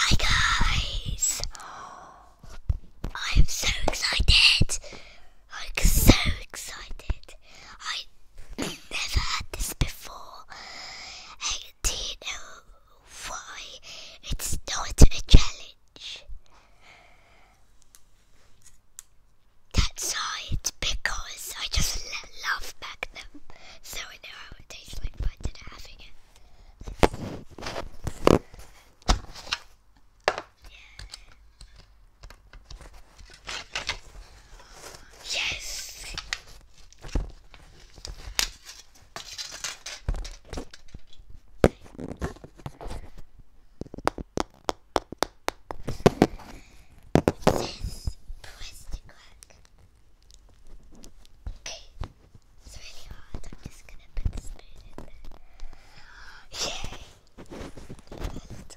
Hi guys! I'm so excited! I'm so excited! I never had this before. And do you know why? It's not a challenge. That's right, because I just love Magnum, so I know how it tastes like, but I it. Yes! It says press the crack. It's really hard. I'm just gonna put the spoon in there. Yay! A little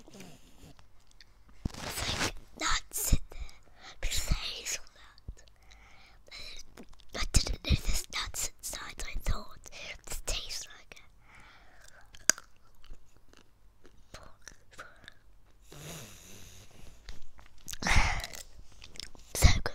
It's like nuts in there because they're hazelnut. I didn't know there's nuts inside, I thought this tastes like so good.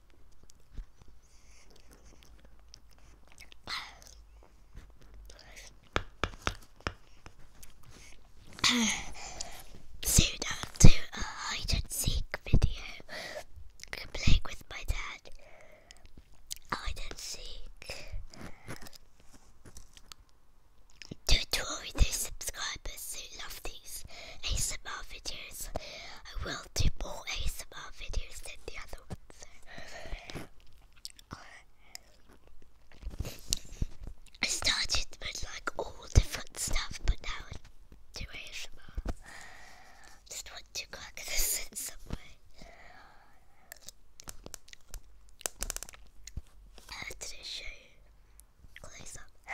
Soon after a hide and seek video, playing with my dad. Hide and seek. Do to all their subscribers who love these ASMR videos. I will do more ASMR videos than the other ones. I started with like all different stuff, but now I ASMR. Just want to crack this in some way. Uh, today show you close up.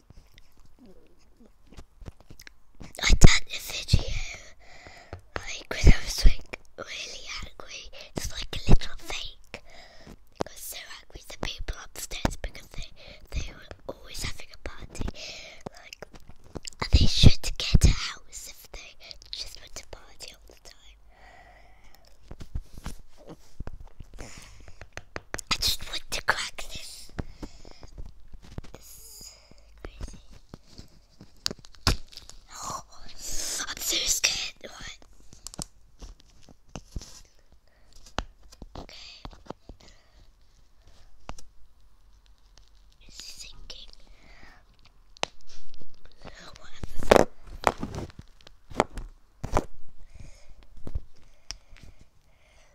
I done a video like when I was like really angry. It's like a little fake. I was so angry the people upstairs because they were always having a party. Like they should get a house if they just went to party all the time. I just want to crack this. This crazy. Oh, I'm so scared. What? Okay. It's sinking. Whatever.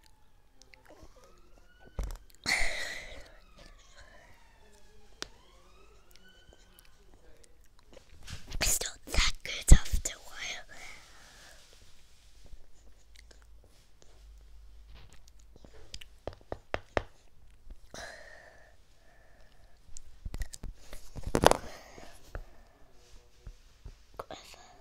it's not that good after a while.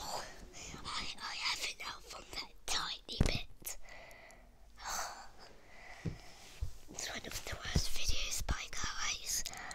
Oh, I, I have it now from that tiny bit. It's one of the worst videos by guys.